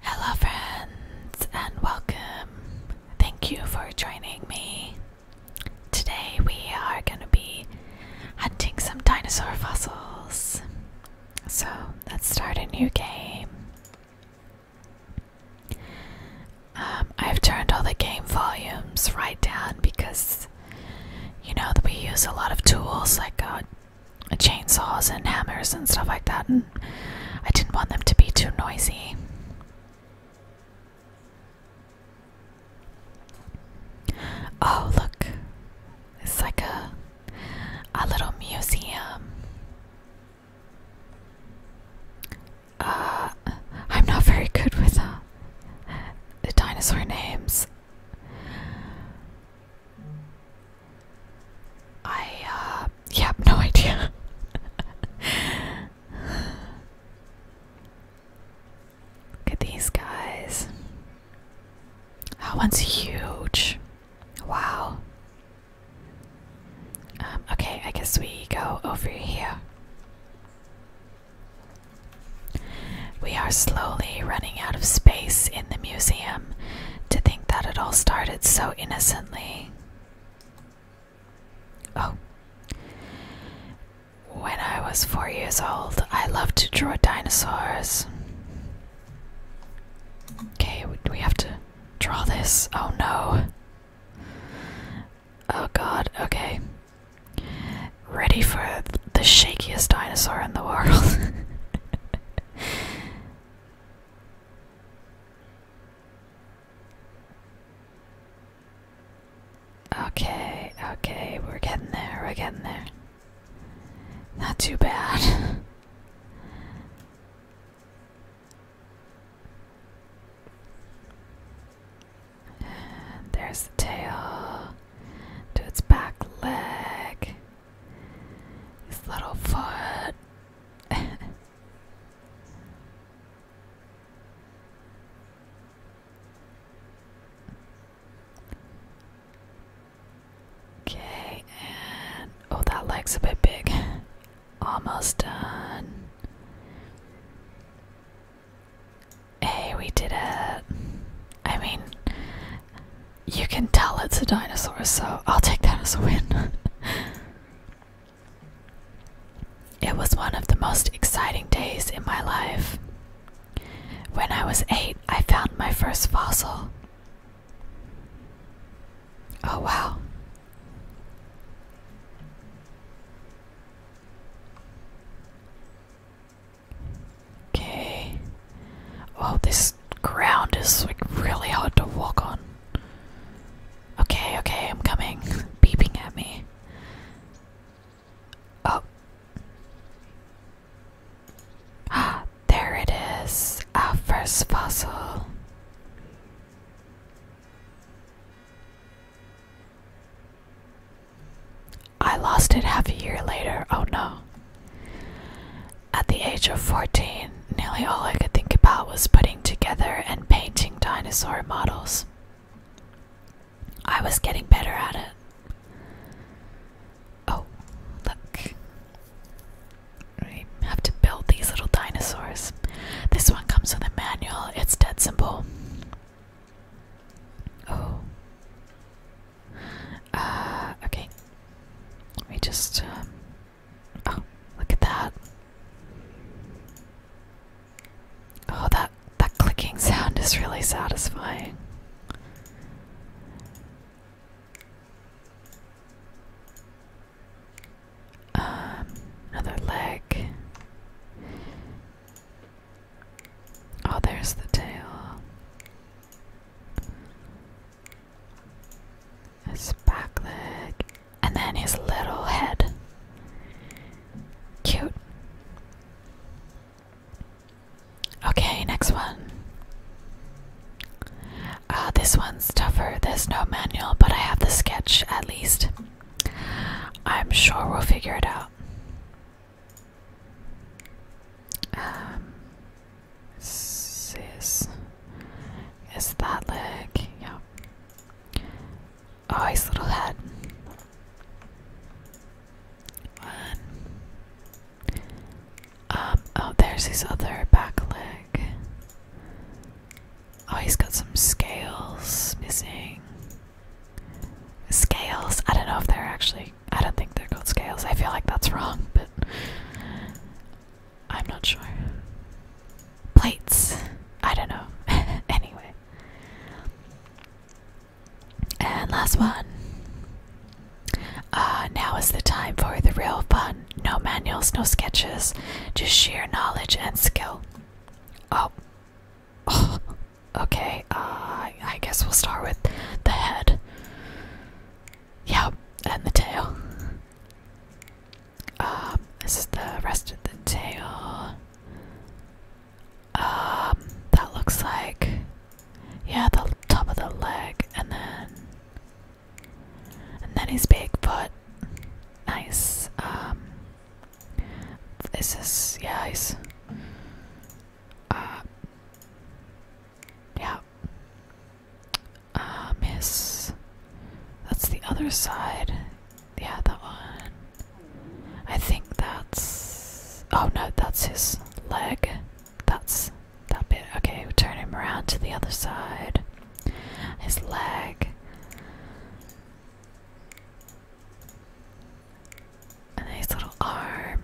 Hello, friends, and welcome. Thank you for joining me. Today, we are going to be hunting some dinosaur fossils. So, let's start a new game. Um, I've turned all the game volumes right down because you know we use a lot of tools like a uh, chainsaws and hammers and stuff like that, and I didn't want them to be too noisy. Oh, look, it's like a a little museum. Uh, I'm not very good with the uh, dinosaur names. I uh yeah, no idea. Look at these guys. That oh, one's huge. Wow. Um, okay, I guess we go over here. We are slowly running out of space in the museum to think that it all started so innocently. Oh. When I was four years old, I loved to draw dinosaurs. Okay, we have to draw this. Oh no. Oh god, okay. Ready for the shakiest dinosaur in the world. Okay, okay, we're getting there, we're getting there. Not too bad. there's the tail to its back leg. This little foot. okay, and oh, that leg's a bit big. Almost done. Hey, we did it. I mean, you can tell it's a dinosaur, so I'll take that as a win. it was one of the most exciting days in my life. When I was eight, I found my first fossil. Oh, wow. Okay. Oh, this ground is like really hard to walk on. Okay, okay, I'm coming. Beeping at me. Oh. Ah, there it is. Our first fossil. I lost it half a year later. Oh no. At the age of 14, nearly all I could think about was putting together and painting dinosaur models. I was getting better at it. Oh, look. I have to build these little dinosaurs. This one comes with a manual, it's dead simple. Oh. Uh, okay. We just, um, oh, look at that. Oh, that, that clicking sound is really satisfying. Um, another leg. Oh, there's the tail his back leg, and then his little head. Cute. Okay, next one. Uh, this one's tougher. There's no manual, but I have the sketch at least. I'm sure we'll figure it out. Um, is It's that leg. Yeah. Oh, his little head. One. Um, oh, there's his other back leg. Oh, he's got some scales missing. Scales? I don't know if they're actually. I don't think they're called scales. I feel like that's wrong, but. I'm not sure. Plates. I don't know. anyway. And last one. Uh, now is the time for the real fun. No manuals, no sketches, just sheer knowledge and skill. Oh. oh. Okay, uh, I guess we'll start with the head. Yeah, and the tail. Um, this is the rest of the tail. Um, that looks like yeah, the top of the leg, and then and then his big foot. Nice. Um, this is yeah, he's. Uh, yeah. Uh, miss. That's the other side. Yeah, that one. I think that's. Oh no, that's his leg. That's that bit. Okay, we turn him around to the other side. His leg. And his little arm.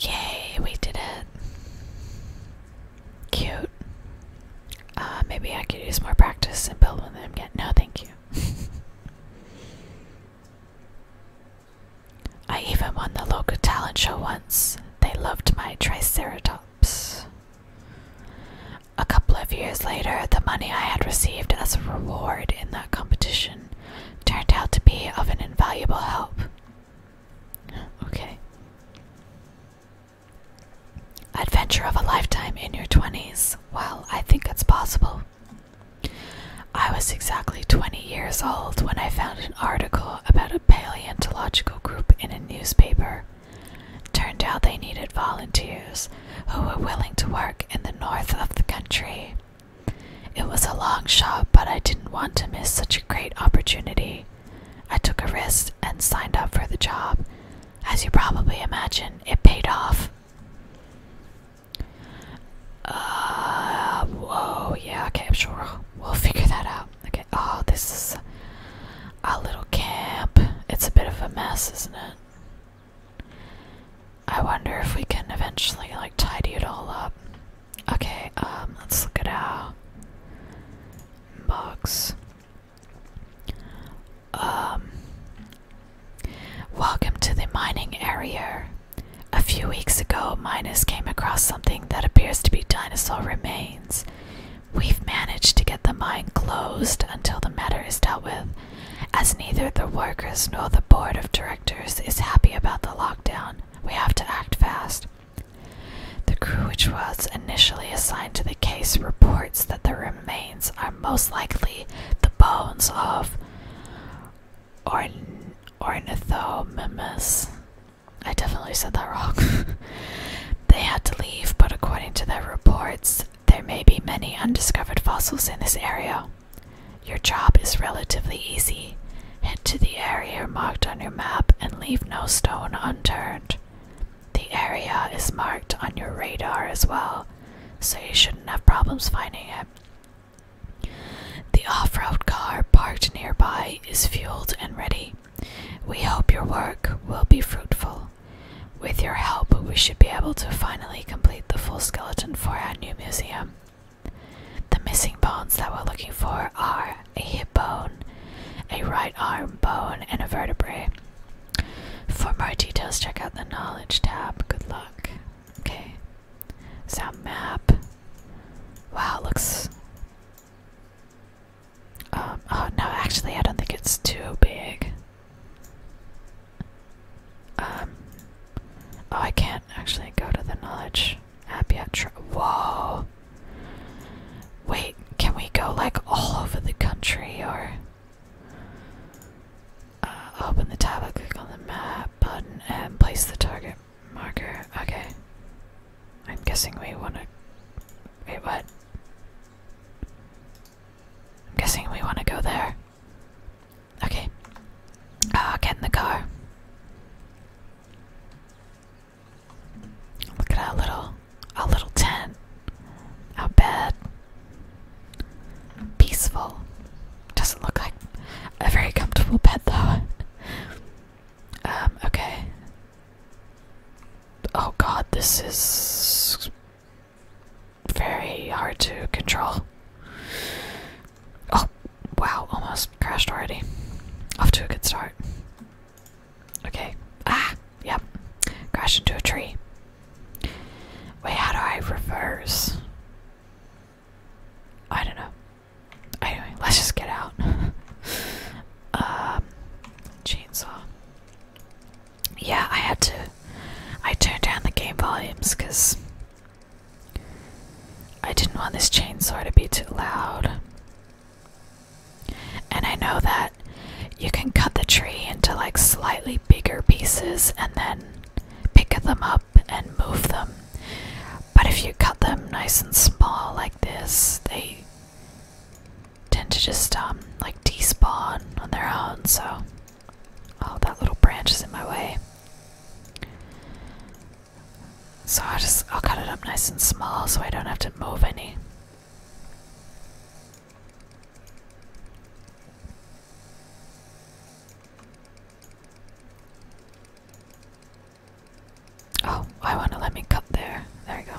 Yay, we did it. Cute. Uh, maybe I could use more practice and build with them again. No, thank you. I even won the local talent show once. They loved my Triceratops. A couple of years later, the money I had received as a reward in that competition turned out to be of an invaluable help. Okay. Adventure of a lifetime in your 20s. Well, I think it's possible. I was exactly 20 years old when I found an article about a paleontological group in a newspaper. Turned out they needed volunteers who were willing to work in the north of the country it was a long shot, but I didn't want to miss such a great opportunity. I took a risk and signed up for the job. As you probably imagine, it paid off. Uh, whoa, yeah, okay, we'll figure that out. Okay, oh, this is a little camp. It's a bit of a mess, isn't it? I wonder if we can eventually like tidy it all up. Okay, um, let's look at box. Um, welcome to the mining area. A few weeks ago, miners came across something that appears to be dinosaur remains. We've managed to get the mine closed until the matter is dealt with, as neither the workers nor the board of directors is happy about the lockdown. We have to act fast. The crew which was initially assigned to the case reports that the remains are most likely the bones of Ornithomimus. I definitely said that wrong. they had to leave, but according to their reports, there may be many undiscovered fossils in this area. Your job is relatively easy. Head to the area marked on your map and leave no stone unturned. The area is marked on your radar as well, so you shouldn't have problems finding it. The off road car parked nearby is fueled and ready. We hope your work will be fruitful. With your help, we should be able to finally complete the full skeleton for our new museum. The missing bones that we're looking for are a hip bone, a right arm bone, and a vertebrae. For more details, check out the knowledge tab. Good luck. Okay. Sound map. Wow, looks. Um, oh no, actually, I don't think it's too big. Um. Oh, I can't actually go to the knowledge app yet. Whoa. Wait, can we go like all over the country or. Uh, open the tab, click on the map button, and place the target marker. Okay. I'm guessing we want to. Wait, what? I'm guessing we want to go there. Okay. Ah, get in the car. Look at our little, our little tent, our bed. Peaceful. Doesn't look like a very comfortable bed though. um. Okay. Oh God, this is very hard to control. Oh, wow, almost crashed already. Off to a good start. Okay. Ah, yep. Crashed into a tree. Wait, how do I reverse? I don't know. Anyway, let's just get out. um, chainsaw. Yeah, I had to. I turned down the game volumes because I didn't want this chainsaw to be too loud. And I know that you can cut the tree into like slightly bigger pieces and then pick them up and move them. But if you cut them nice and small like this, they tend to just um like despawn on their own, so oh that little branch is in my way. So I'll just I'll cut it up nice and small so I don't have to move any. Oh, I want to let me cut there. There we go.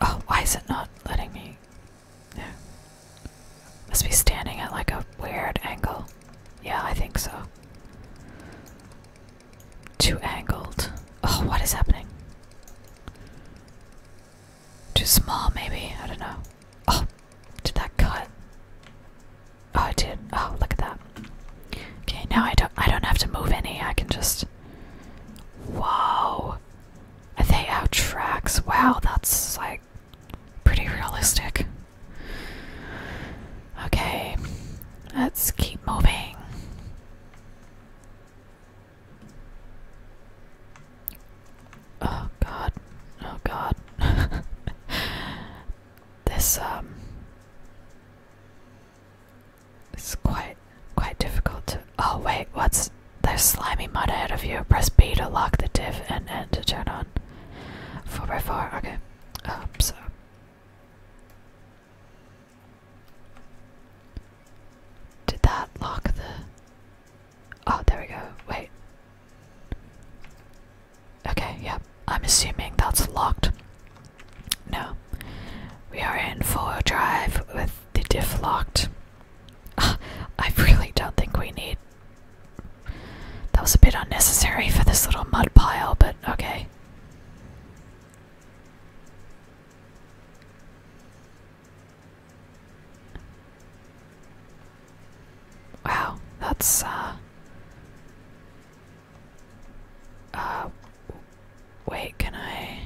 Oh, why is it not letting me? No. Must be standing at like a weird angle. Yeah, I think so. Too angled. Oh, what is happening? Too small, maybe? I don't know. Oh, did that cut? Oh, it did. Oh, look at that. Okay, now I don't I don't have to move any. I can just Whoa. Are they out tracks? Wow, that's like pretty realistic. Okay. Let's keep moving. Oh god. Oh god. this um, it's quite quite difficult to Oh wait, what's there's slimy mud ahead of you. Press B to lock the div and N to turn on. Four by four, okay. oh so did that lock the Oh there we go. Wait. Okay, yep. I'm assuming that's locked. No. We are in 4 drive with the diff locked. I really don't think we need. That was a bit unnecessary for this little mud pile, but okay. Wow, that's uh, uh, wait, can I?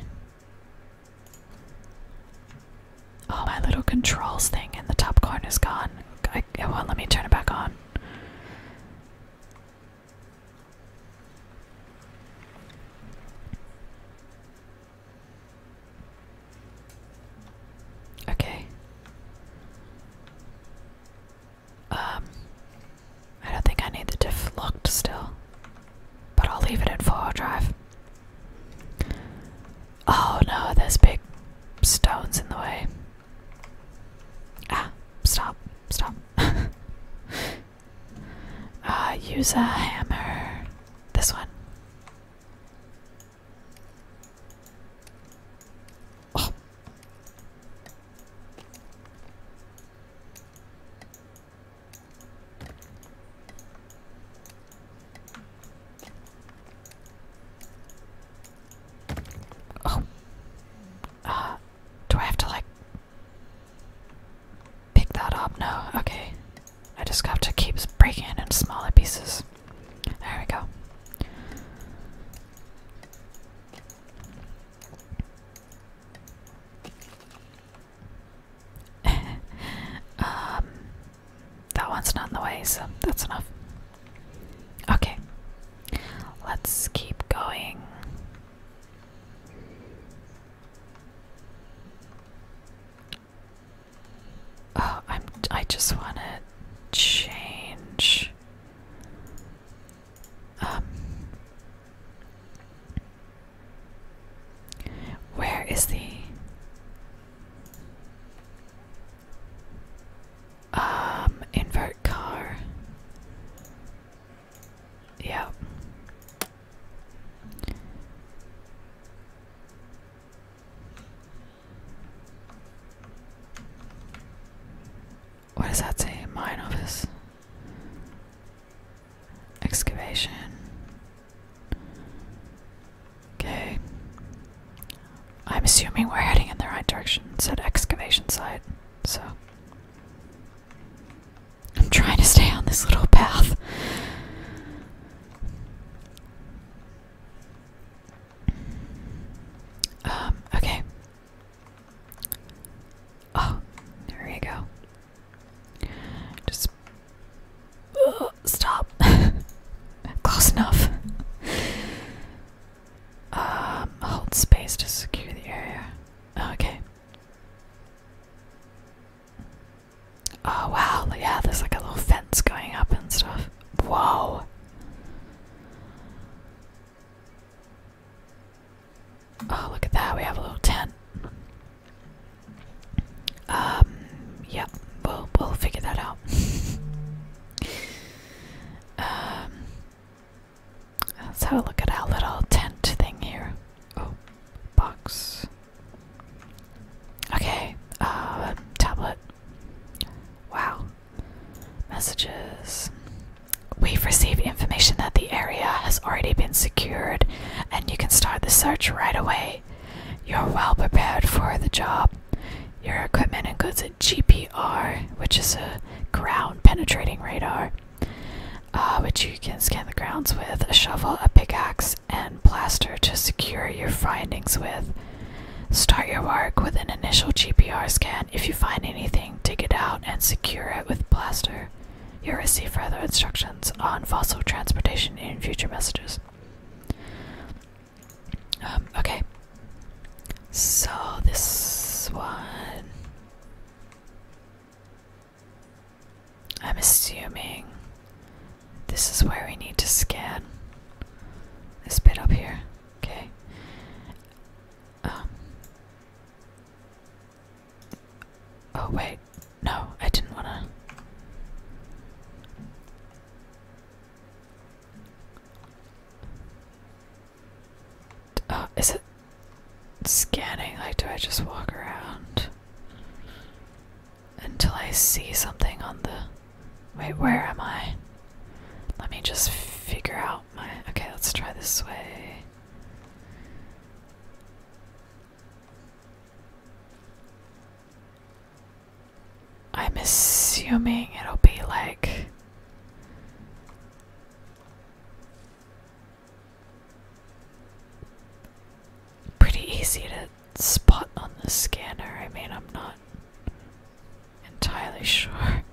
Oh, my little controls thing in the top corner is gone. let me turn it back on. Okay. Um, I don't think I need the diff locked still, but I'll leave it at 4 drive. Oh no, there's big stones in the way. Ah, stop, stop. uh, use a hammer. This one. Oh. Oh. Uh, do I have to like pick that up? No. Okay. I just have to keep breaking it into smaller pieces. There we go. um, that one's not in the way, so that's enough. Okay, let's keep going. Oh, I'm. I just want to change um, where is the um invert car? Yep. What does that say? Mine office. Excavation. Okay. I'm assuming we're heading in the right direction. said excavation site, so. I'm trying to stay on this little path. Um, okay. Oh, there you go. Just uh, stop. Close enough. um, hold space to secure the area. Oh, okay. Oh wow, yeah, there's like a little fence going up and stuff. Whoa. Oh, look at that. We have a little tent. Um, yeah, we'll, we'll figure that out. um, let's have a look at our little tent thing here. Oh, box. Okay, uh, tablet. Wow. Messages. We've received information that the area has already been secured and you can start the search right away. You're well prepared for the job. Your equipment includes a GPR, which is a ground penetrating radar, uh, which you can scan the grounds with, a shovel, a pickaxe, and plaster to secure your findings with. Start your work with an initial GPR scan. If you find anything, dig it out and secure it with plaster. You'll receive further instructions on fossil transportation in future messages. Um, okay. So this one. I'm assuming this is where we need to scan this bit up here. Okay. Um, Oh, wait. No, I didn't want to. Oh, is it scanning? Like, do I just walk around until I see something on the. Wait, where am I? Let me just figure out my. Okay, let's try this way. I'm assuming it'll be like pretty easy to spot on the scanner. I mean, I'm not entirely sure.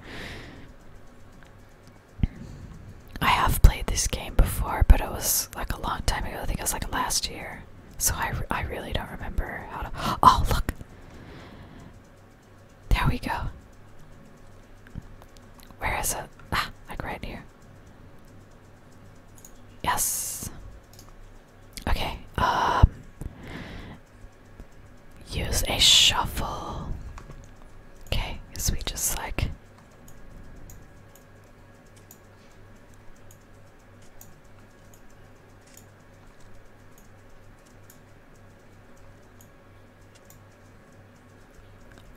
I have played this game before, but it was like a long time ago. I think it was like last year. So I, I really don't remember how to. Oh, look! There we go. Where is it? Ah, like right here. Yes. Okay. Um. Use a shuffle. Okay, cause we just like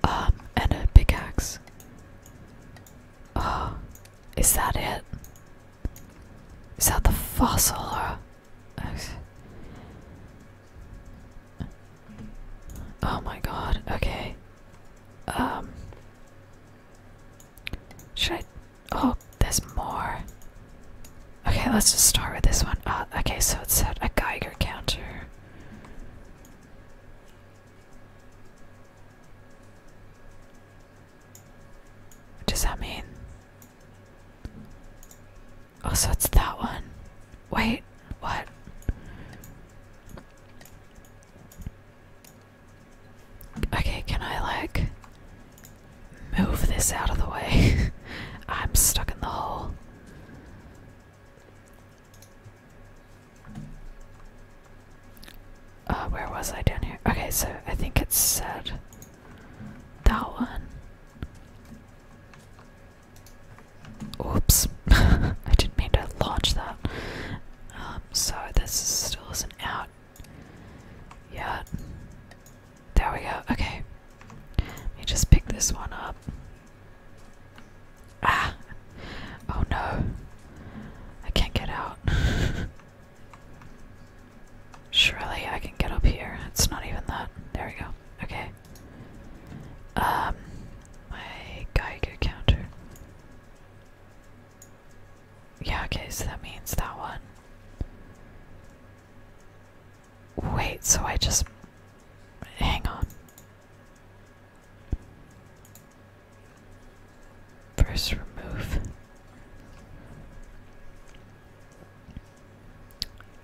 um, and a pickaxe. Oh, is that it? Is that the fossil? Oh my god, okay. Um. Should I. Oh, there's more. Okay, let's just start with this one. Uh, okay, so it said a Geiger counter. What does that mean? Oh, so it's that one. Wait, what? Okay, can I like move this out of the way? I'm stuck in the hole. Uh, where was I down here? Okay, so I think it said that one. Oops, I didn't mean to launch that. Um, so this still isn't out yet. There we go. Okay, let me just pick this one up. Ah! Oh no, I can't get out. Surely I can get up here. It's not even that. There we go. Okay. Um, my Geiger counter. Yeah, okay, so that means that one. Wait, so I just. Hang on. First, remove.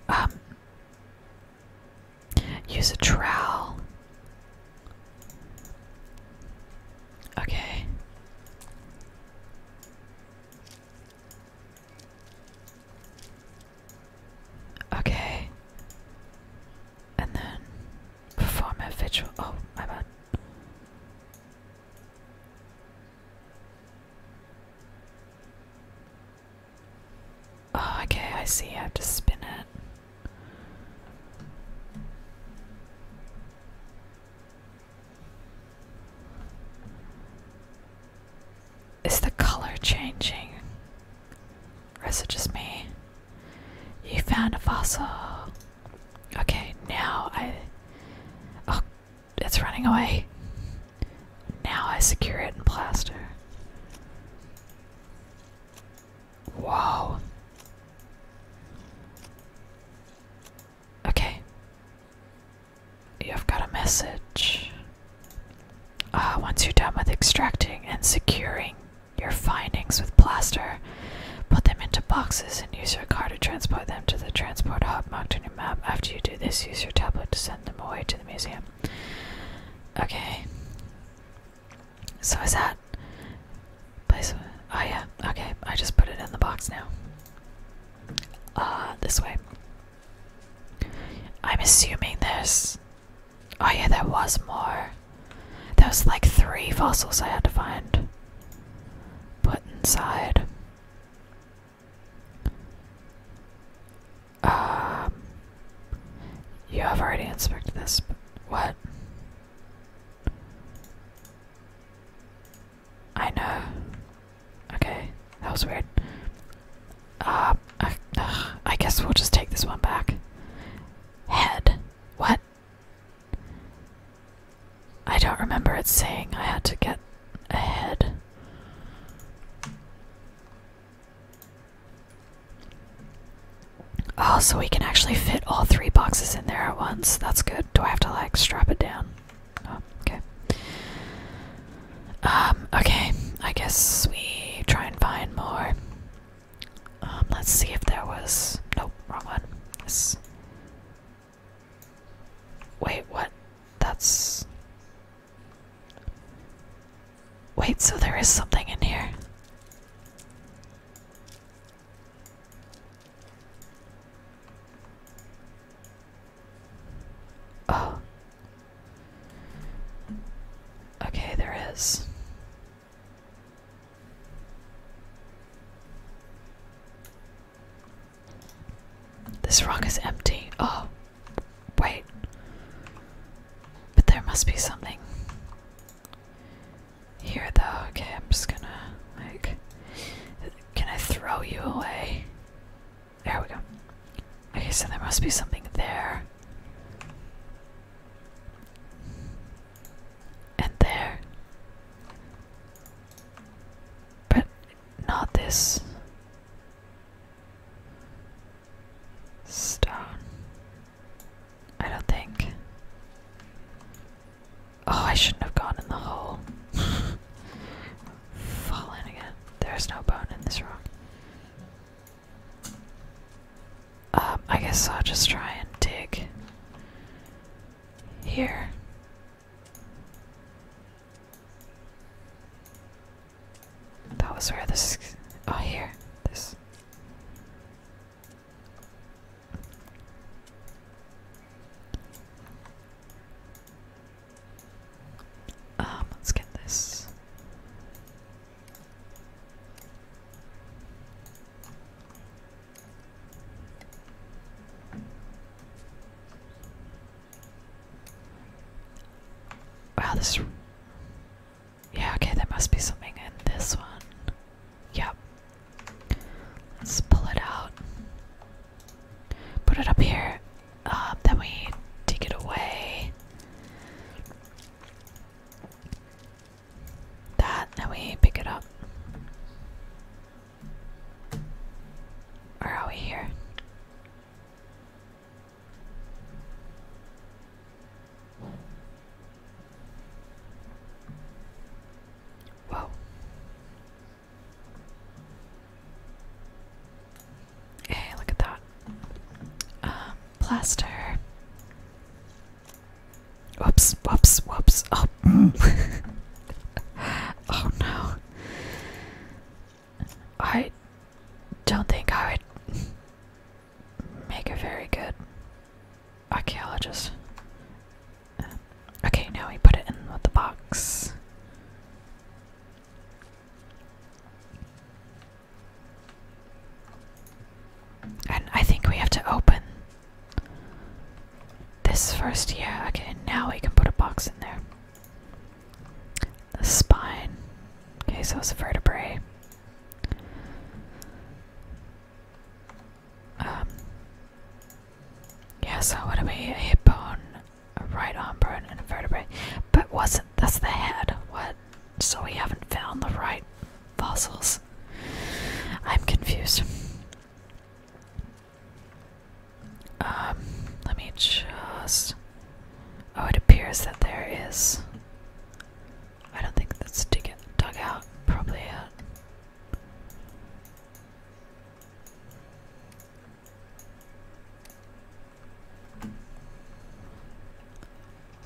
Um, Use a trowel. Okay. Okay. And then perform a vigil. Oh, my bad. Oh, okay, I see. I have to spin it. Is the color changing? Or is it just me? You found a fossil. Okay, now I. Oh, it's running away. Now I secure it in plaster. Wow. Okay. You've got a message. Uh, once you're done with extracting and securing your findings with plaster, put them into boxes and use your car to transport them to the transport hub marked on your map. After you do this, use your tablet to send them away to the museum. Okay. So is that Oh yeah. Okay. I just put it in the box now. Uh, this way. I'm assuming this. Oh yeah, there was more. There was like three fossils I had to find. Put inside. Um, you have already inspected this. what? I know. Okay, that was weird. uh, I guess we'll just take this one back. Head. What? I don't remember it saying I had to get a head. Oh, so we can actually fit all three boxes in there at once. That's good. Do I have to like strap it down? Oh, okay. Um, okay. I guess we try and find more. Um, let's see if there was nope, wrong one. Yes. Wait, what? That's Wait, so there is something in here. Oh. Okay, there is. This rock is empty. Oh. Wait. But there must be something here, though. Okay, I'm just gonna, like. Can I throw you away? There we go. Okay, so there must be something there. And there. But not this. Stone. I don't think. Oh, I shouldn't have gone in the hole. Fall in again. There's no bone in this room. Um, I guess I'll just try and dig here. That was where this. Oh, here. This. Um, let's get this. Wow, this yeah, okay, there must be something in this one. Yep. Let's pull it out. Put it up here. Uh, then we take it away. That, then we pick it up. Or are we here? Wow. Hey, look at that. Um, plaster. Whoops, whoops, whoops. Oh, oh no. I don't think I would make a very good archaeologist. Okay, now we put it in the box. And I think we have to open this first. Yeah, okay, now we can put a box in there the spine. Okay, so it's a vertebrae. Um, yeah, so would do we? A hip bone, a right arm bone, and a vertebrae. But wasn't that's the head? What? So we haven't found the right fossils. I'm confused. Um, let me just. Oh, it appears that there is. I don't think that's dug out. Probably out.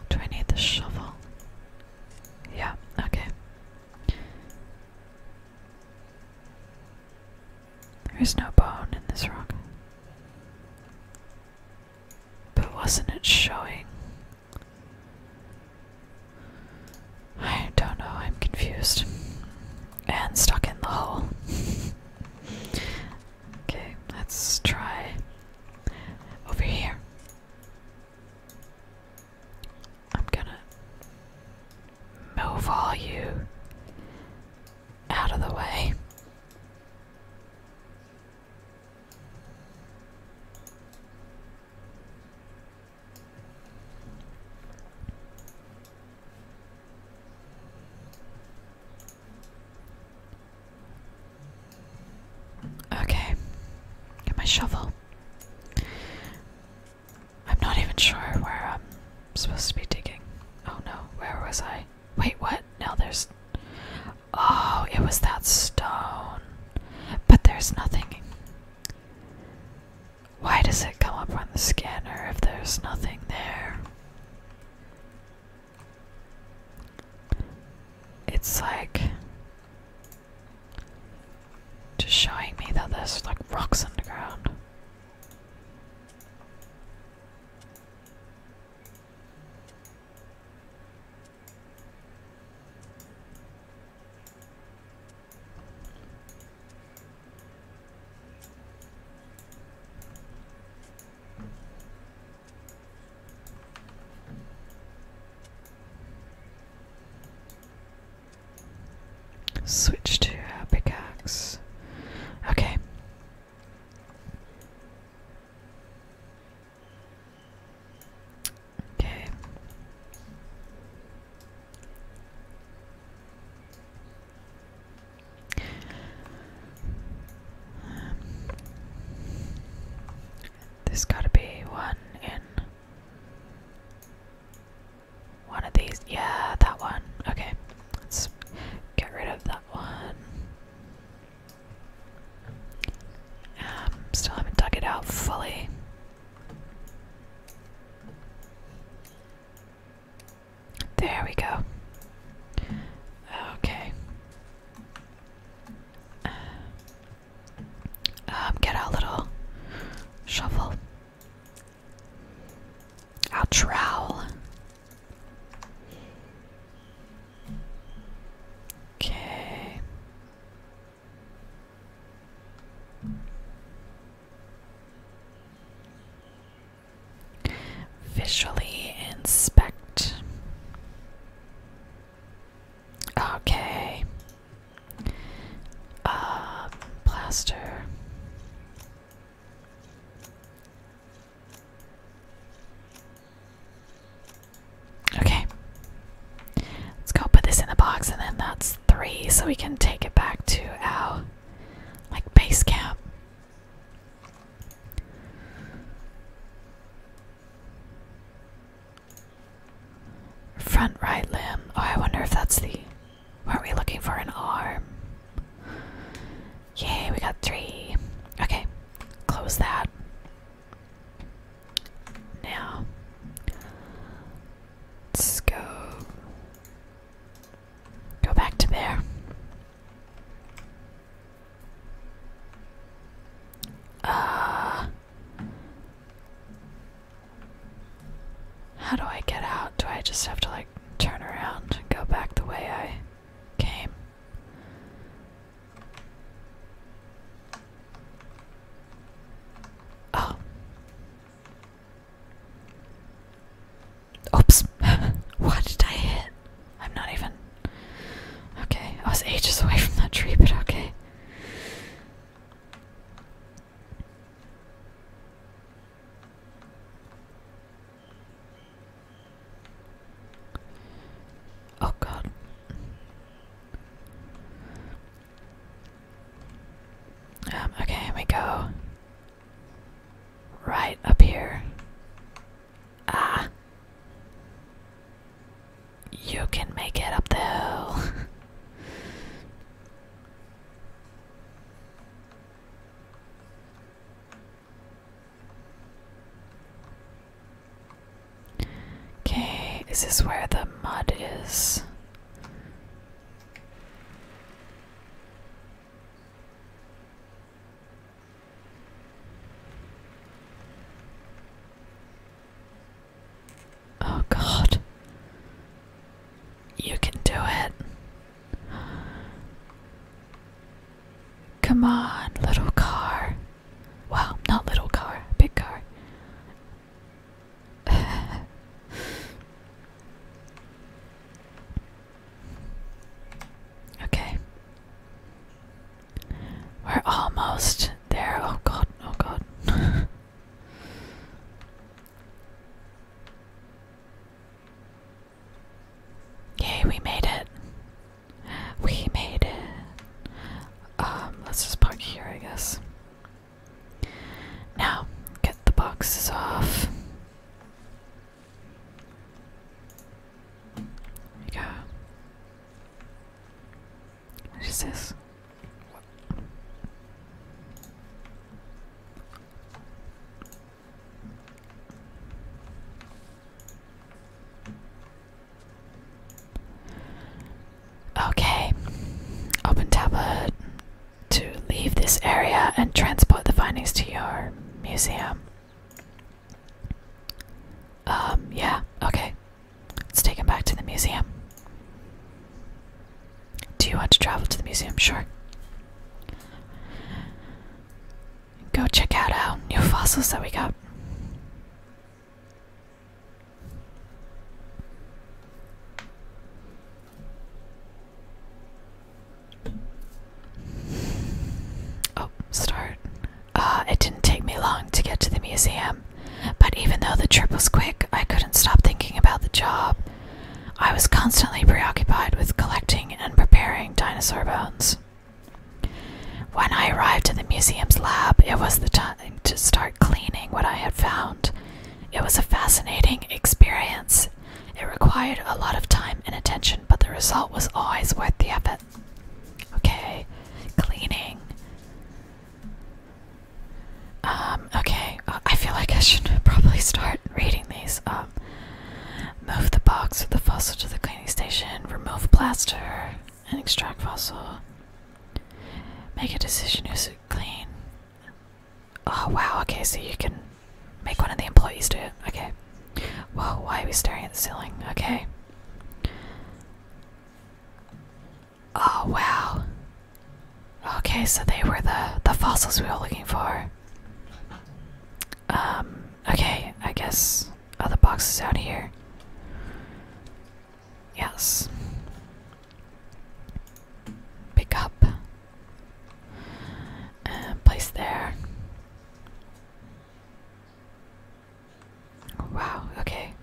Do I need the shovel? Yeah, okay. There is no bone in this rock. But wasn't it showing? I don't know, I'm confused. And stuck in the hole. okay, let's try over here. I'm gonna move all you out of the way. Okay, get my shovel. I'm not even sure where I'm supposed to be digging. Oh no, where was I? Wait, what? Now there's. Oh, it was that stone. But there's nothing. Why does it come up on the scanner if there's nothing there? It's like just showing me that there's like rocks underground. Switch to uh, pickaxe. Okay. Okay. Um, this gotta be one in one of these. Yeah, that one. Okay, let's get rid of that one. Um, still haven't dug it out fully. There we go. Okay. Uh, um, get our little shovel. Our trowel. Okay. Visually inspect. Okay. Uh, plaster. Okay. Let's go put this in the box and then that's three so we can take it back to our like base camp. Front right limb. Oh, I wonder if that's the. are not we looking for an arm? Yay, we got three. Okay, Close that. Now, let's go. Go back to there. Uh, how do I get out? Do I just have to like turn around and go back the way I came? Oh. Oops. what did I hit? I'm not even. Okay, I was ages away from that tree, but okay. Oh god. Um, okay, we go right up here. Ah. You can make it up the hill. Okay, this is where the mud is? Oh, God. You can do it. Come on, little car. Wow, not little car, big car. okay. We're almost there. Oh god, oh god. Yay, we made it. We made it. Um, let's just park here, I guess. Now, get the boxes off. There we go. What is this? Okay, open tablet uh, to leave this area and transport the findings to your museum. Um, yeah, okay. Let's take him back to the museum. Do you want to travel to the museum? Sure go check out our uh, new fossils that we got. Oh, start. Uh, it didn't take me long to get to the museum, but even though the trip was quick, I couldn't stop thinking about the job. I was constantly preoccupied with collecting and preparing dinosaur bones. When I arrived at the museum's lab, it was the time to start cleaning what I had found. It was a fascinating experience. It required a lot of time and attention, but the result was always worth the effort. Okay, cleaning. Um, okay, uh, I feel like I should probably start reading these. Um, Move the box with the fossil to the cleaning station. Remove plaster and extract fossil. Make a decision who's clean. Oh wow, okay, so you can make one of the employees do it. Okay. Whoa, why are we staring at the ceiling? Okay. Oh wow. Okay, so they were the the fossils we were looking for. Um, okay, I guess other boxes out here. Yes. Pick up. And place there. Wow, okay.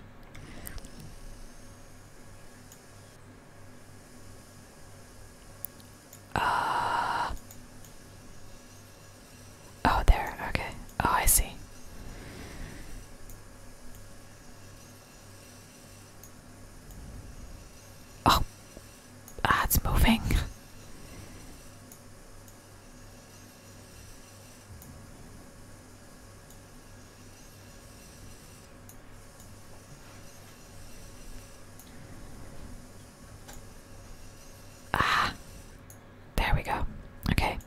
Uh Oh, there. Okay. Oh, I see. Oh, ah, it's moving. Ah, there we go. Okay.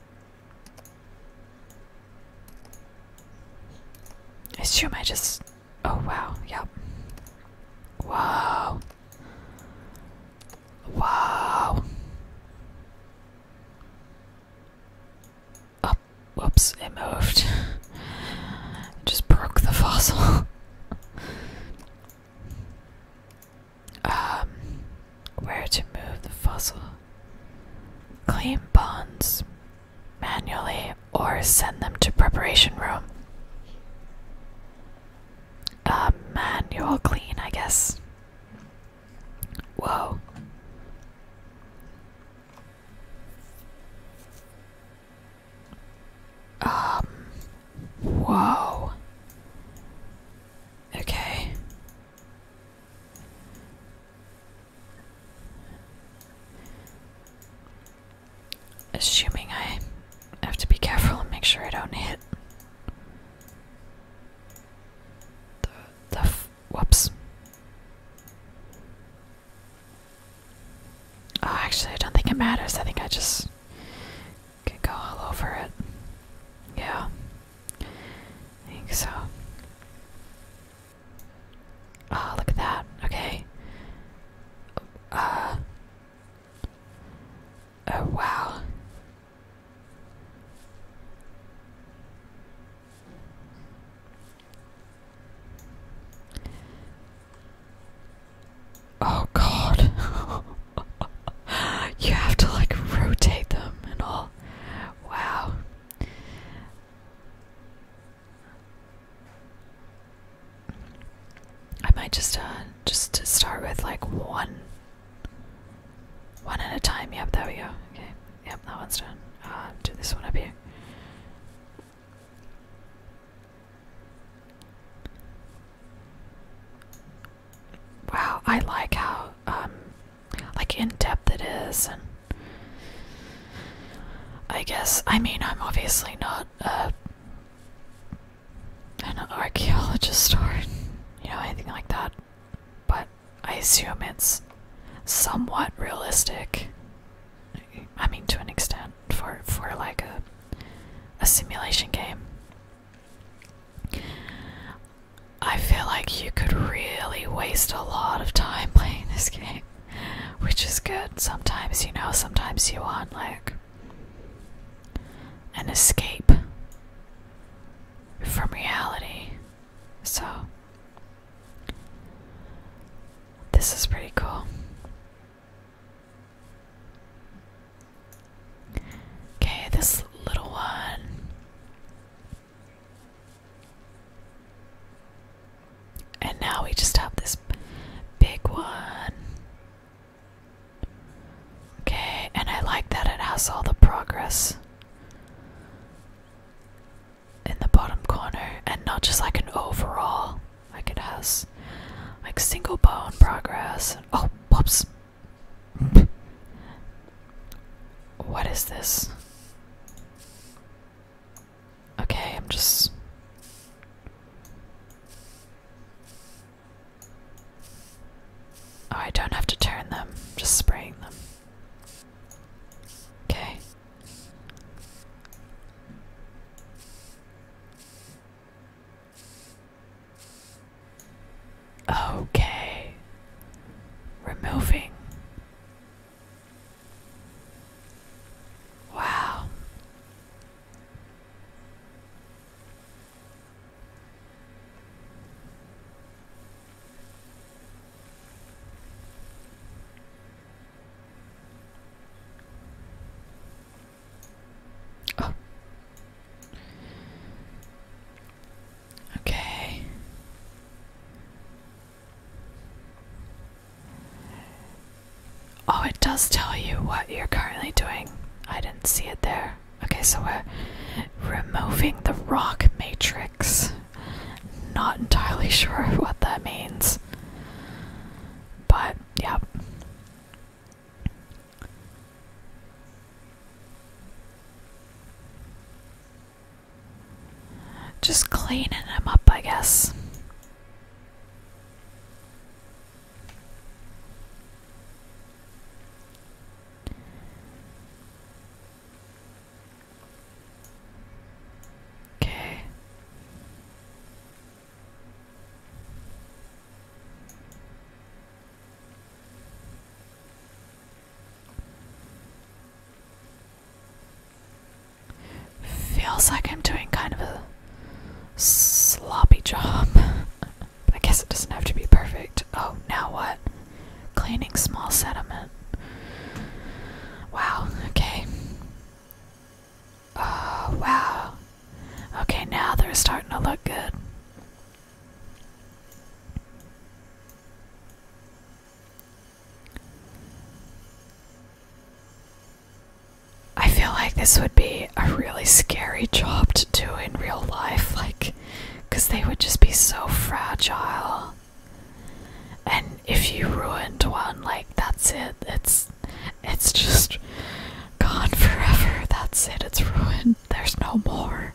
I assume I just. Oh wow, yep. Wow. Wow. Oh, whoops, it moved. it just broke the fossil. Um, where to move the fossil? Clean bonds manually or send them to preparation room. Uh, manual clean, I guess. Whoa. Um, Whoa. Okay. Assuming I have to be careful and make sure I don't hit the the whoops. Oh, actually, I don't think it matters. I think I just can go all over it. Yeah. I think so. Oh, look at that. Okay. Uh. Oh, wow. Oh god. you have to like rotate them and all. Wow. I might just uh just to start with like one one at a time. Yep, there we go. Okay. Yep, that one's done. Uh, do this one up here. Wow, I like how um, like in depth it is and I guess I mean I'm obviously not an archaeologist or you know anything like that, but I assume it's somewhat realistic. I mean to an extent for for like a a simulation game. I feel like you could really waste a lot of time playing this game, which is good. Sometimes, you know, sometimes you want like an escape from reality. So, this is pretty cool. Okay, this little one. And now we just have this big one. Okay, and I like that it has all the progress in the bottom corner and not just like an overall. Like it has like single bone progress. oh, whoops what is this? Okay, I'm just. Oh, I don't have to turn them, just spraying them. Okay. Okay. Removing. Wow. Oh. Okay. Oh, it does tell you what you're currently doing. I didn't see it there. Okay, so we're removing the rock matrix. Not entirely sure what that means. But, yep. Just cleaning them up, I guess. Okay. Feels like I'm doing kind of a sloppy job. I guess it doesn't have to be perfect. Oh, now what? Cleaning small sediment. Wow, okay. Oh, wow. Okay, now they're starting to look good. I feel like this would be a really scary job to do in real life, like, because they would just be so fragile. And if you ruined one, like, that's it. It's, it's just gone forever. That's it. It's ruined. There's no more.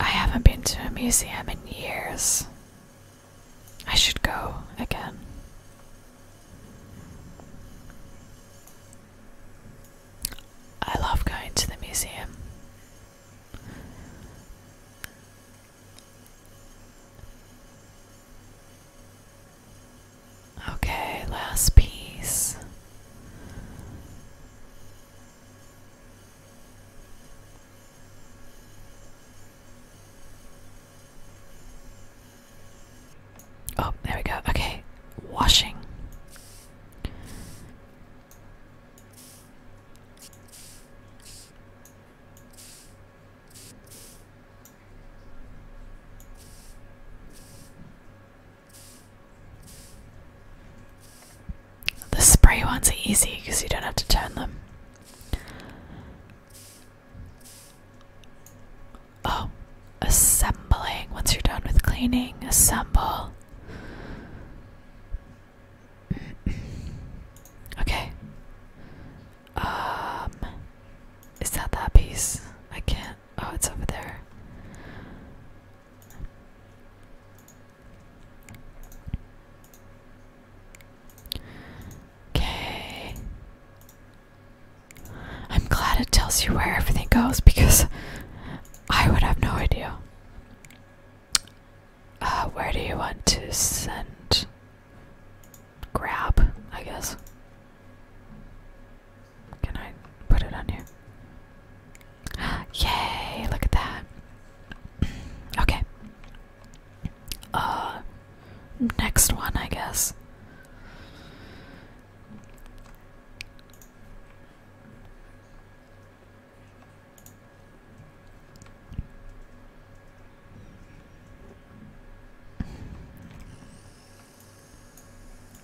I haven't been to a museum in years. I should go again. I love going to the museum. Okay, last piece. Oh, there we go. Okay, washing. The spray ones are easy because you don't have to turn them. Oh, assembling. Once you're done with cleaning, assemble. okay. Um, is that that piece? I can't. Oh, it's over there. Okay. I'm glad it tells you where everything goes because I would have no idea. Uh, where do you want to send? Grab, I guess. Can I put it on here? Yay, look at that. okay. Uh, next one, I guess.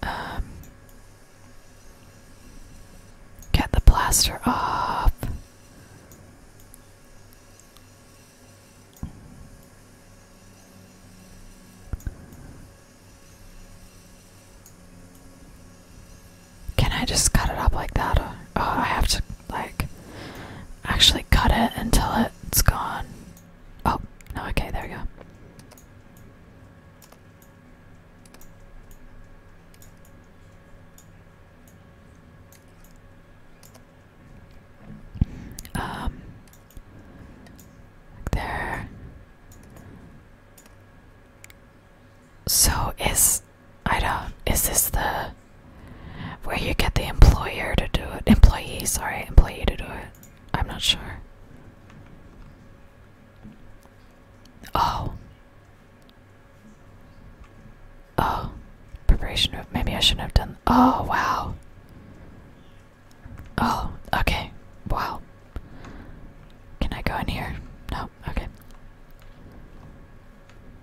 Um, get the plaster off. Can I just cut it up like that? Or, oh, I have to, like, actually cut it until it's gone. Oh, no, okay, there we go. Um, there. So is I don't is this the where you get the employer to do it? Employee, sorry, employee to do it. I'm not sure. Oh. Oh. Preparation of maybe I shouldn't have done. Oh wow. Oh, okay. Wow. Can I go in here? No, okay.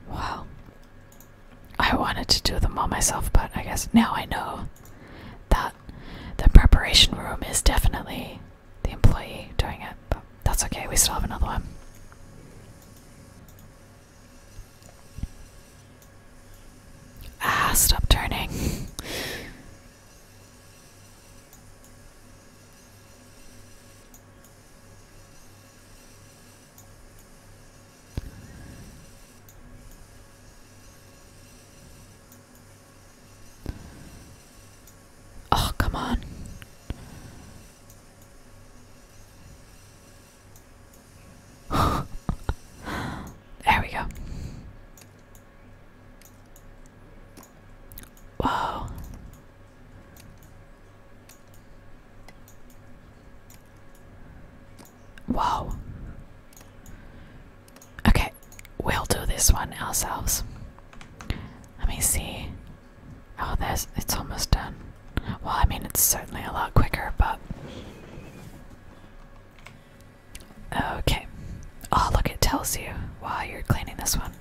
Wow. I wanted to do them all myself, but I guess now I know that the preparation room is definitely the employee doing it, but that's okay, we still have another one. Ah, stop turning. Oh, come on. there we go. Whoa. Whoa. Okay, we'll do this one ourselves. Let me see. Oh, there's it's almost done. Well, I mean, it's certainly a lot quicker, but Okay. Oh, look, it tells you while you're cleaning this one.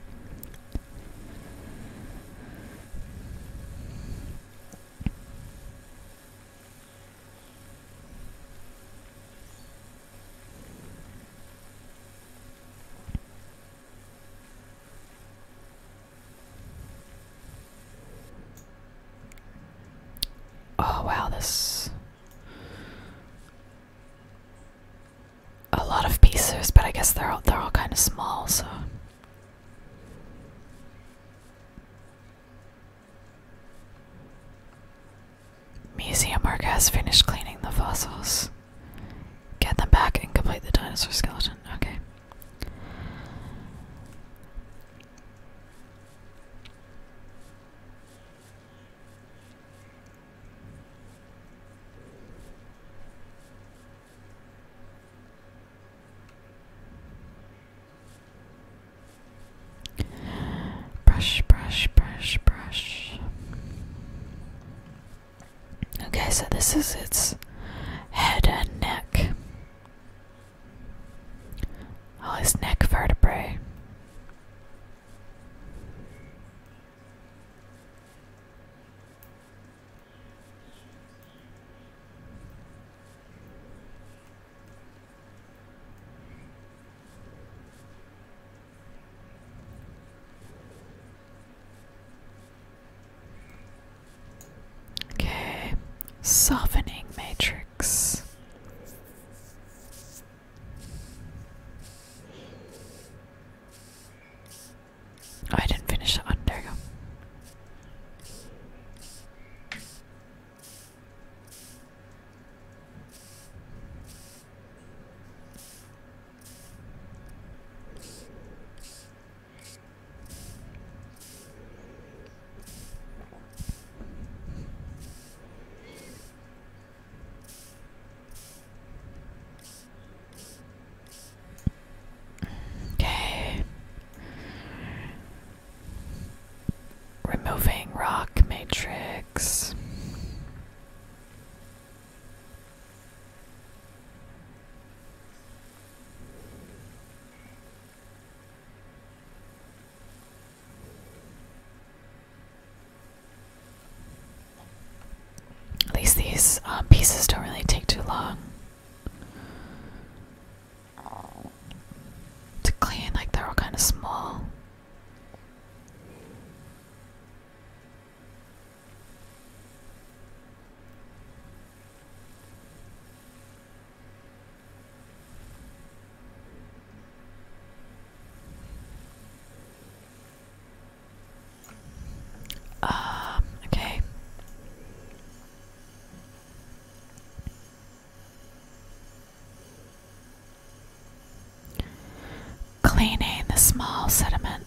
Oh wow, this a lot of pieces, but I guess they're all they're all kind of small, so Museum worker has finished cleaning the fossils. Get them back and complete the dinosaur skeleton. Okay. Brush, brush, brush, brush. Okay, so this is its head and neck. All oh, his neck vertebrae. Okay, softening matrix. Oh, I didn't finish that one. There you go. Okay. Removing rock matrix. At least these uh, pieces don't really take too long to clean, like they're all kind of small. Um, okay. Cleaning the small sediment.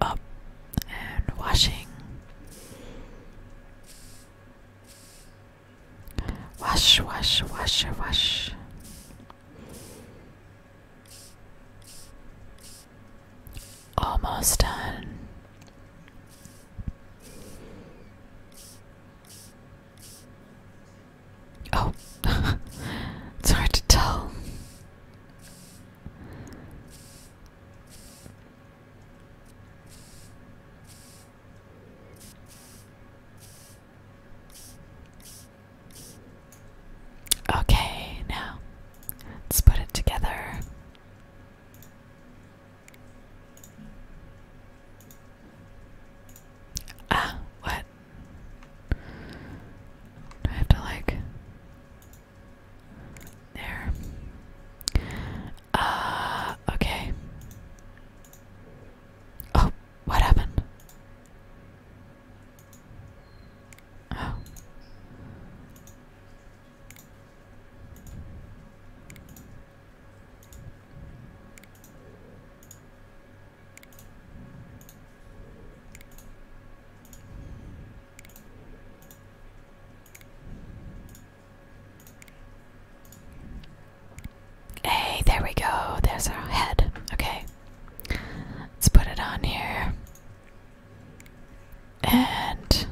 up and washing. Wash, wash, wash, wash. Almost done. Oh, it's hard to tell. Okay, now let's put it together. Ah, what? Do I have to like there? Uh okay. Oh, what happened? Oh. Hey, there we go. There's our head. Okay. Let's put it on here. And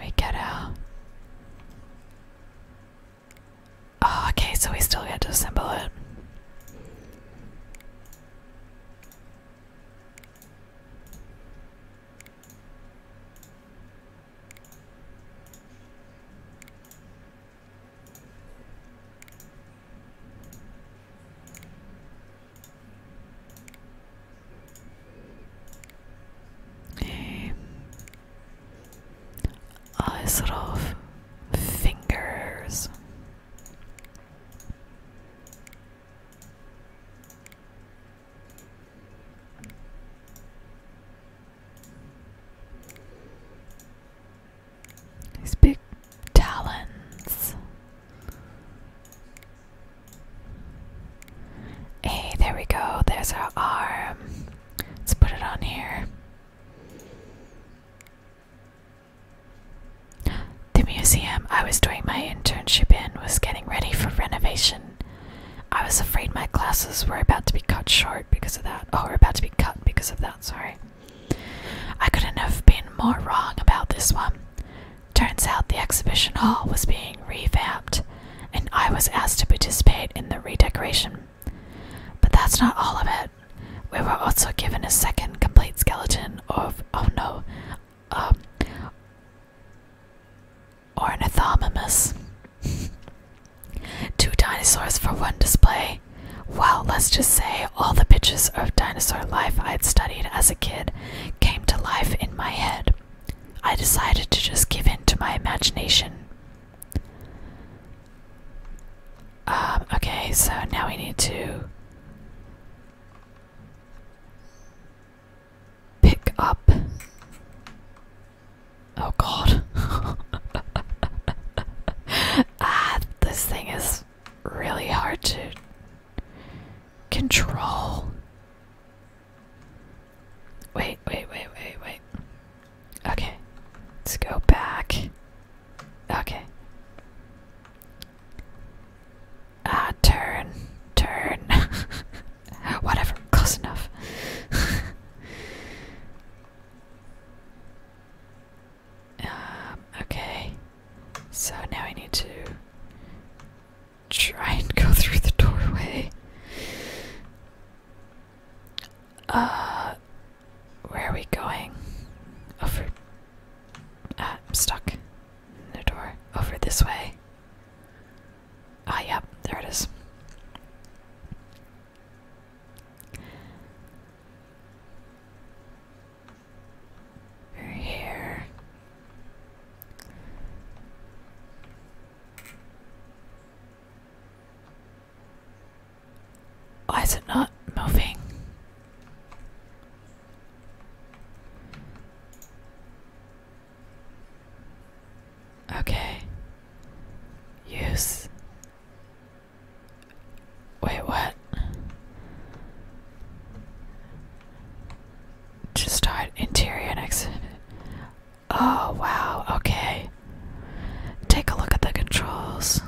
we get out. Oh, okay, so we still get to assemble it a sort of fingers these big talons. Hey, there we go. There's our arm. Let's put it on here. The museum I was doing my internship in was getting ready for renovation. I was afraid my classes were about to be cut short because of that. Oh, were about to be cut because of that, sorry. I couldn't have been more wrong about this one. Turns out the exhibition hall was being revamped, and I was asked to participate in the redecoration. But that's not all of it. We were also given a second complete skeleton of oh no, um, Ornithomimus. Two dinosaurs for one display. Well, let's just say all the pictures of dinosaur life I'd studied as a kid came to life in my head. I decided to just give in to my imagination. Um, okay, so now we need to pick up. Oh god. ah, this thing is really hard to control. Wait, wait, wait, wait, wait. Okay, let's go back. Okay. Ah, turn, turn. Whatever, close enough. Um, okay. So now I need to try and go through the doorway. Uh, where are we going? Over. Uh, I'm stuck. No door. Over this way. Ah, yep. There it is. here. Why is it not moving? Okay. Use. Wait, what? Just start interior exit. Oh, wow, okay. Take a look at the controls.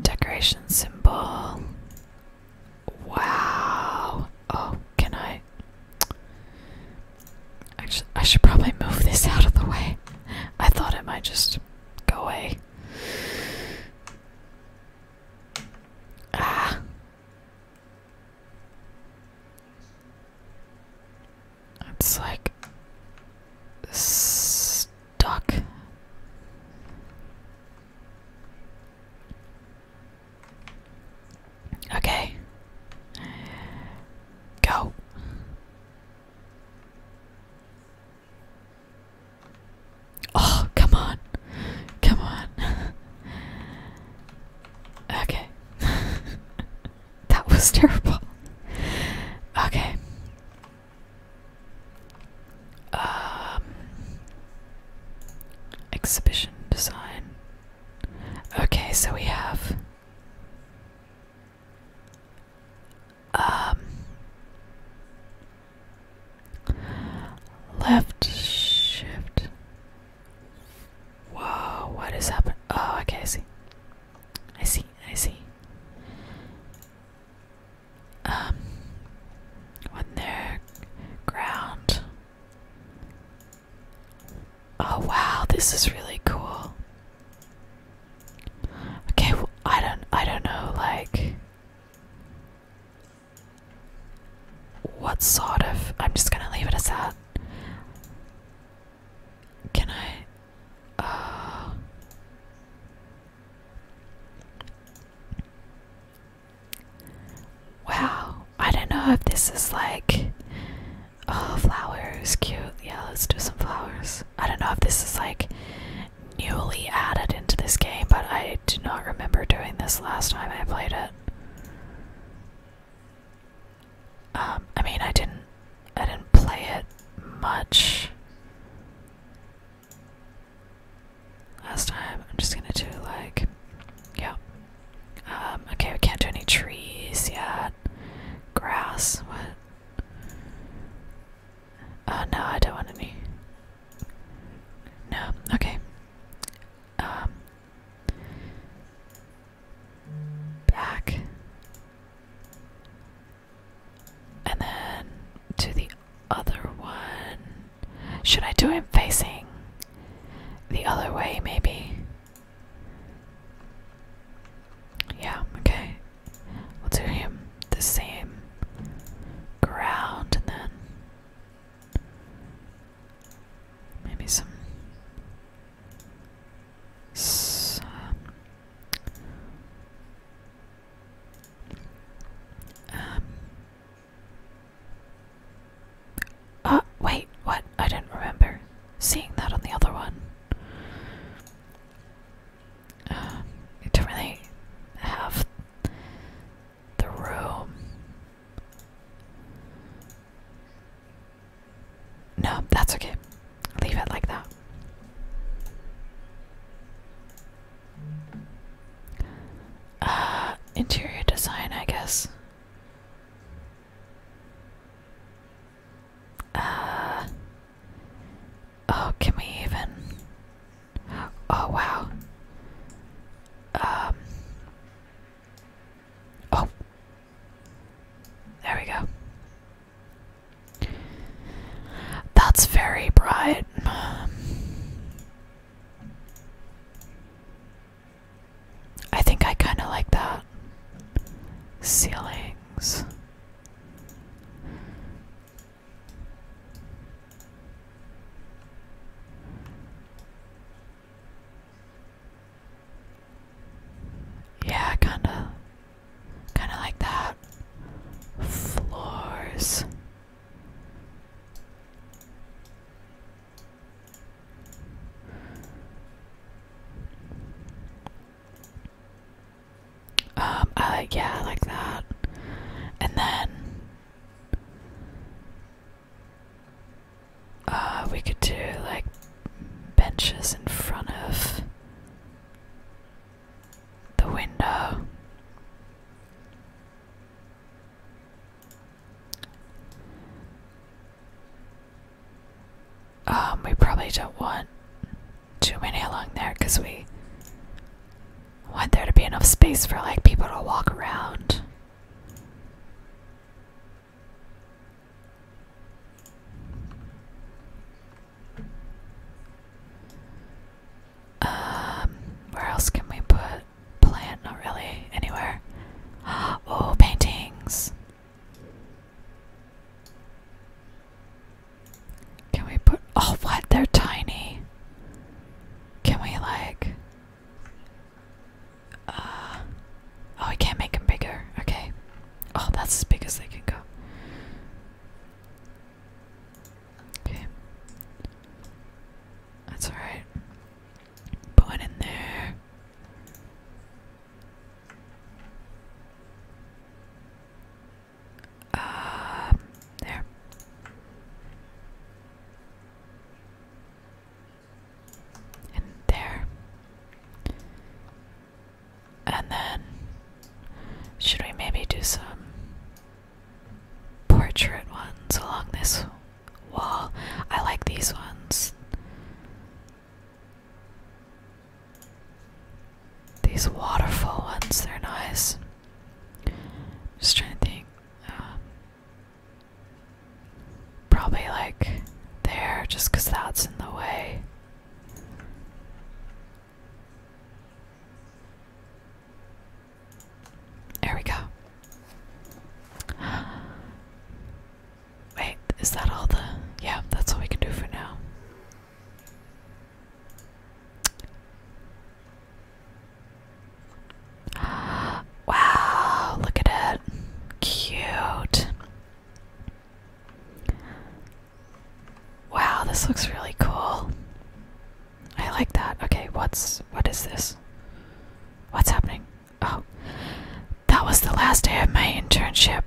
Decoration symbol. Wow. Oh, can I? Actually, I should probably move this out of the way. I thought it might just go away. Ah. It's like duck. Okay. Go. Oh, come on. Come on. okay. that was terrible. Okay. Um, exhibition design. Okay, so we have um, left shift. Whoa, what is happening? Oh, okay, I see. I see, I see um, when they ground. Oh wow, this is really cool. Okay, well, I don't, I don't know, like, what sort of? I'm just gonna leave it as that. Can I? Uh, Wow, I don't know if this is like. Oh, flowers, cute. Yeah, let's do some flowers. I don't know if this is like newly added into this game, but I do not remember doing this last time I played it. Um, I mean, I didn't I didn't play it much last time. I'm just gonna do like, yeah. Um, okay, we can't do any trees yet. Grass, what? Oh no, I don't want any. No, okay. Um, back. And then to the other one. Should I do him facing the other way, maybe? Yeah, okay. We'll do him the same ground and then maybe some. some um. Uh, wait, what? I didn't remember seeing that on the other one. Um, don't really have the room. No, that's okay leave it like that. Uh, interior design, I guess. Uh, oh, can we even? Oh, wow. Um, oh, there we go. That's very bright. I think I kind of like that. Ceilings. Yeah, kinda. Kind of like that. Floors. Um, I yeah, I like that. And then, uh, we could do like benches in front of the window. Um, we probably don't want too many along there because we want there to be enough space for like people to walk around. Um, where else can we put plant? Not really anywhere. Oh, paintings. Can we put? Oh, what? They're tiny. Can we like? Uh, oh, we can't make them bigger. Okay. Oh, that's as big as they can go. Okay. That's alright. Put one in there. Um, there. And there. And then, should we maybe do some portrait ones along this wall? I like these ones. These waterfall ones, they're nice. Just trying to think. Um, probably like there, just because that's in the way. There we go. Wait, is that all the. Yeah, that's all we can do for now. Wow, look at it. Cute. Wow, this looks really cool. I like that. Okay, what's what is this? What's happening? Oh. That was the last day of my internship.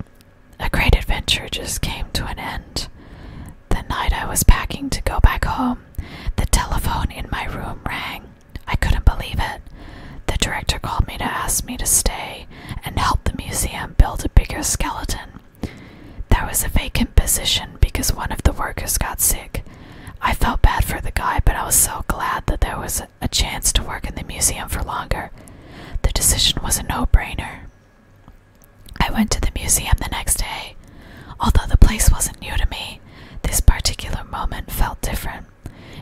A great adventure just came to an end. The night I was packing to go back home, the telephone in my room rang. I couldn't believe it. The director called me to ask me to stay and help the museum build a bigger skeleton. There was a vacant position because one of the workers got sick. I felt bad for the guy, but I was so glad that there was a chance to work in the museum for longer. The decision was a no brainer. I went to the museum the next day. Although the place wasn't new to me, this particular moment felt different.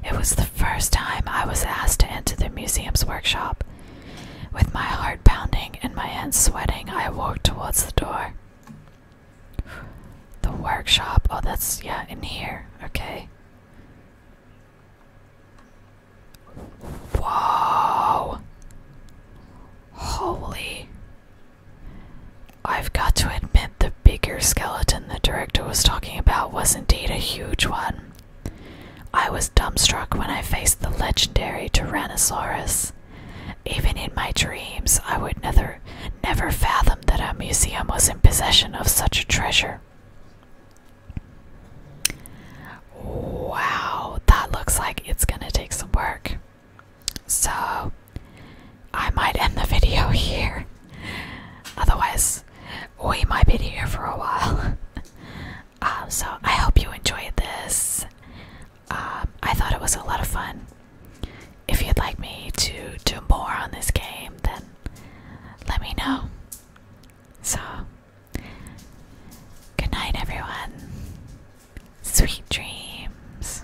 It was the first time I was asked to enter the museum's workshop. With my heart pounding and my hands sweating, I walked towards the door. The workshop. Oh, that's, yeah, in here. Okay. Whoa! Holy. I've got to admit, the bigger skeleton the director was talking about was indeed a huge one. I was dumbstruck when I faced the legendary Tyrannosaurus. Even in my dreams, I would never, never fathom that a museum was in possession of such a treasure. Wow, that looks like it's gonna take some work. So, I might end the video here. Otherwise, we might be here for a while. Um, so I hope you enjoyed this. Um, I thought it was a lot of fun. If you'd like me to do more on this game, then let me know. So, good night, everyone. Sweet dreams.